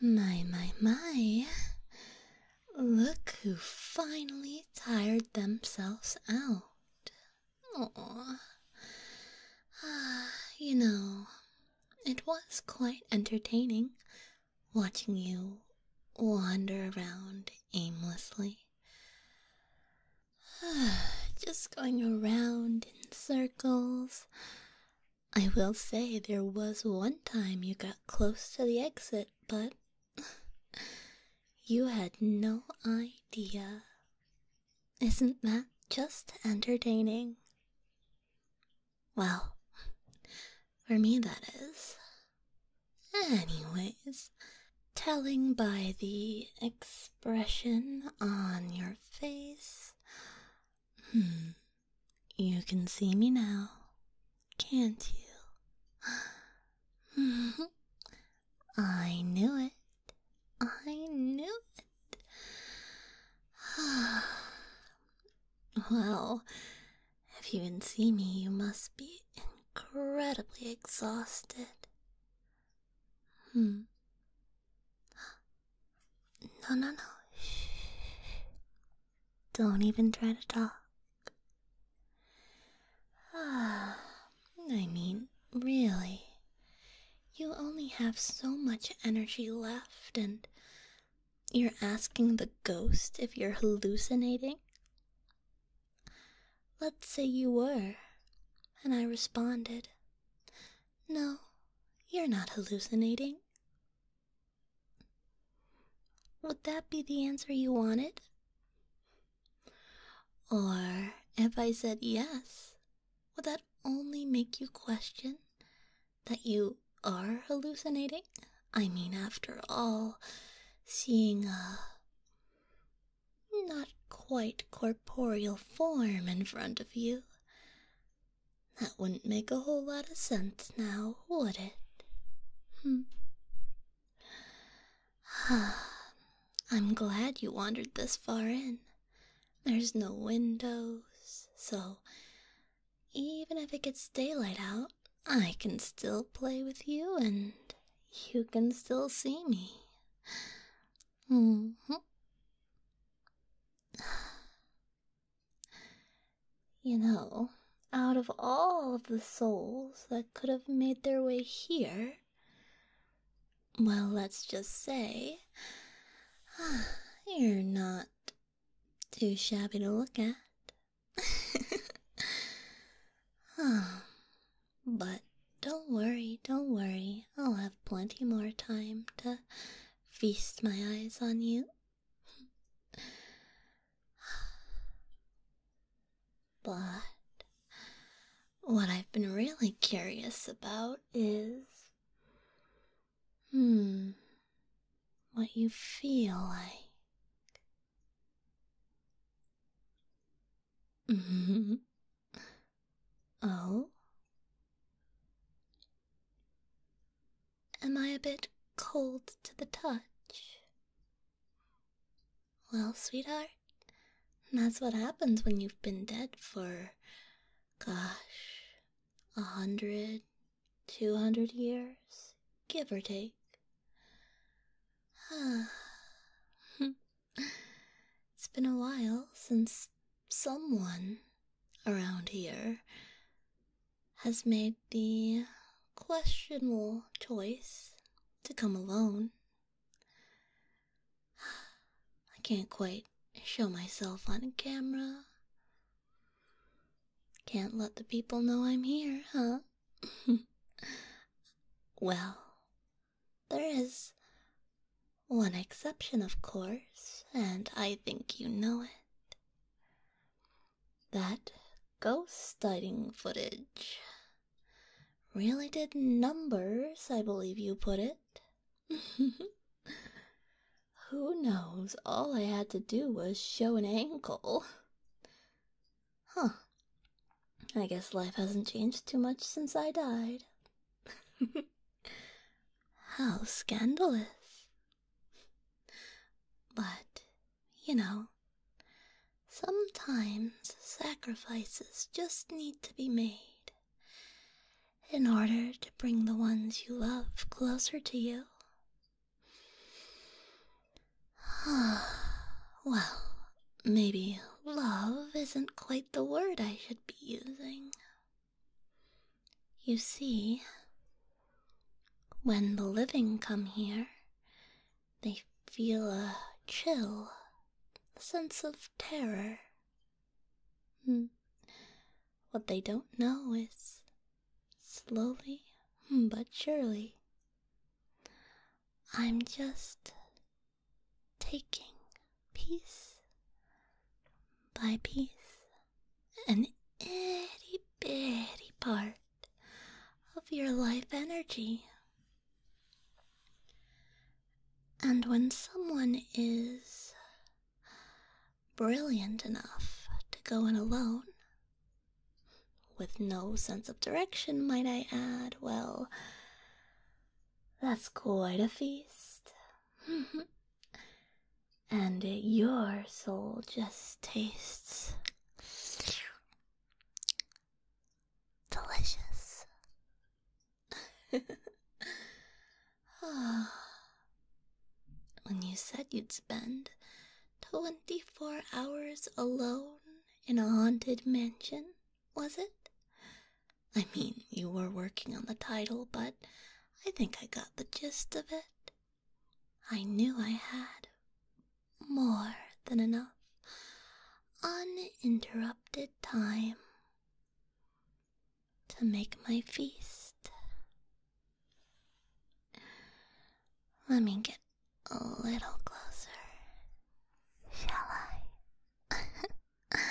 My, my, my. Look who finally tired themselves out. Aww. Ah, you know, it was quite entertaining watching you wander around aimlessly. Just going around in circles, I will say there was one time you got close to the exit, but you had no idea. Isn't that just entertaining? Well, for me that is. Anyways, telling by the expression on your face. Hmm, you can see me now, can't you? I knew it. I knew it. well, if you can see me, you must be incredibly exhausted. Hmm. No, no, no. Shh. Don't even try to talk. Ah, I mean, really. You only have so much energy left, and you're asking the ghost if you're hallucinating? Let's say you were, and I responded. No, you're not hallucinating. Would that be the answer you wanted? Or if I said yes, would that only make you question that you are hallucinating? I mean, after all, seeing a not quite corporeal form in front of you that wouldn't make a whole lot of sense now, would it? Hmm. I'm glad you wandered this far in. There's no windows, so even if it gets daylight out, I can still play with you and you can still see me. -hmm. You know, out of all of the souls that could have made their way here, well, let's just say you're not too shabby to look at. Hmm. But don't worry, don't worry. I'll have plenty more time to feast my eyes on you. but what I've been really curious about is. Hmm. What you feel like. Mm-hmm. Oh? Am I a bit cold to the touch? Well, sweetheart, that's what happens when you've been dead for, gosh, a hundred, two hundred years, give or take. Hmm. It's been a while since someone around here has made the questionable choice to come alone. I can't quite show myself on camera. Can't let the people know I'm here, huh? well, there is one exception, of course, and I think you know it. That ghost sighting footage really did numbers, I believe you put it. Who knows? All I had to do was show an ankle. Huh. I guess life hasn't changed too much since I died. How scandalous. But, you know, sometimes sacrifices just need to be made in order to bring the ones you love closer to you. well, maybe love isn't quite the word I should be using. You see, when the living come here, they feel a chill, a sense of terror. Hmm. What they don't know is slowly but surely I'm just taking piece by piece an itty bitty part of your life energy. And when someone is brilliant enough to go in alone, with no sense of direction, might I add? Well, that's quite a feast. and your soul just tastes delicious. Ah, when you said you'd spend Twenty four hours alone in a haunted mansion, was it? I mean, you were working on the title, but I think I got the gist of it. I knew I had more than enough uninterrupted time to make my feast. Let me get a little closer, shall I?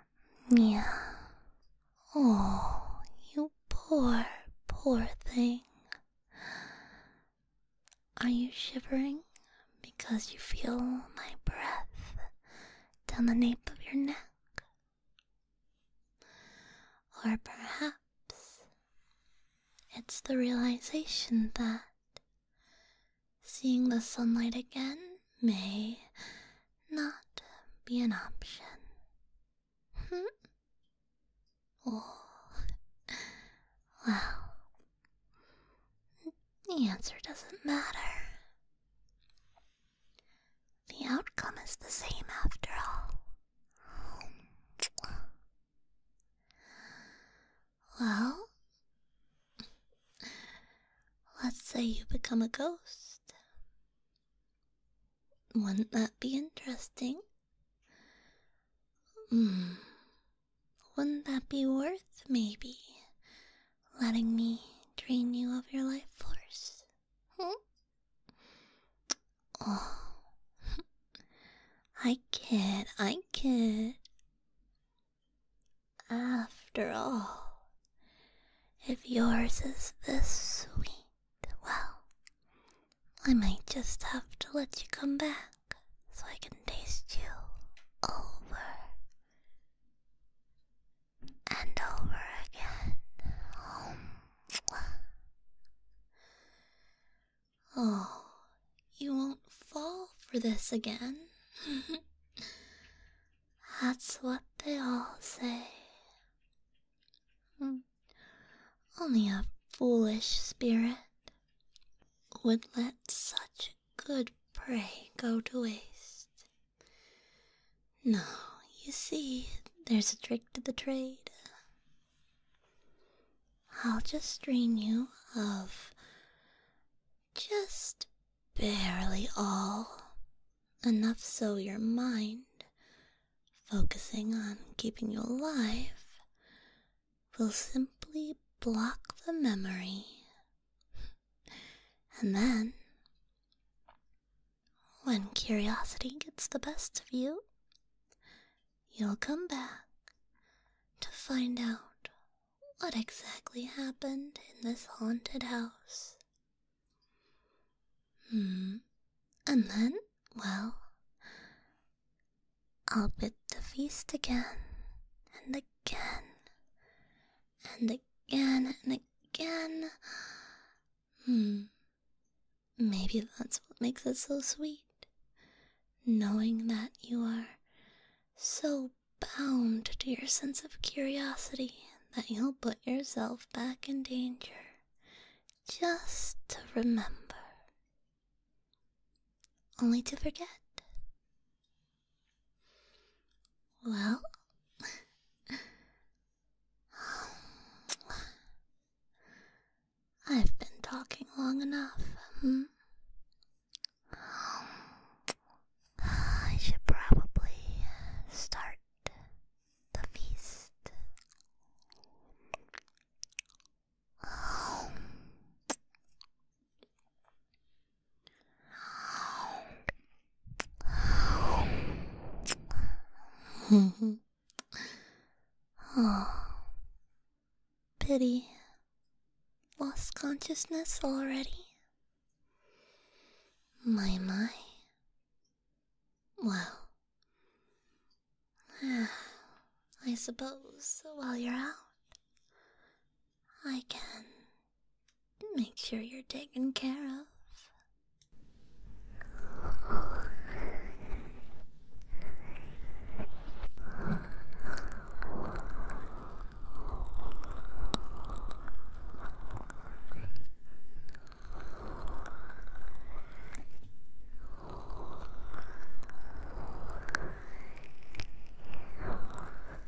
yeah. Oh, you poor, poor thing. Are you shivering because you feel my breath down the nape of your neck? Or perhaps it's the realization that seeing the sunlight again may not be an option. oh, well, the answer doesn't matter. The outcome is the same after all. Well, let's say you become a ghost. Wouldn't that be interesting? Hmm. Wouldn't that be worth maybe letting me drain you of your life force? oh. I kid, I kid. After all, if yours is this sweet, well, I might just have to let you come back so I can taste you over and over again. Oh, you won't fall for this again. That's what they all say. Hmm. Only a foolish spirit would let such good prey go to waste. No, you see, there's a trick to the trade. I'll just drain you of just barely all, enough so your mind, focusing on keeping you alive, will simply block the memory. And then when curiosity gets the best of you, you'll come back to find out what exactly happened in this haunted house. Hmm. And then, well, I'll bid the feast again and again and again and again. Hmm. Maybe that's what makes it so sweet. Knowing that you are so bound to your sense of curiosity that you'll put yourself back in danger just to remember, only to forget. Well, I've been talking long enough. Hmm? I should probably start the feast oh. Pity. Lost consciousness already? My, my. Well. I suppose while you're out, I can Make sure you're taken care of.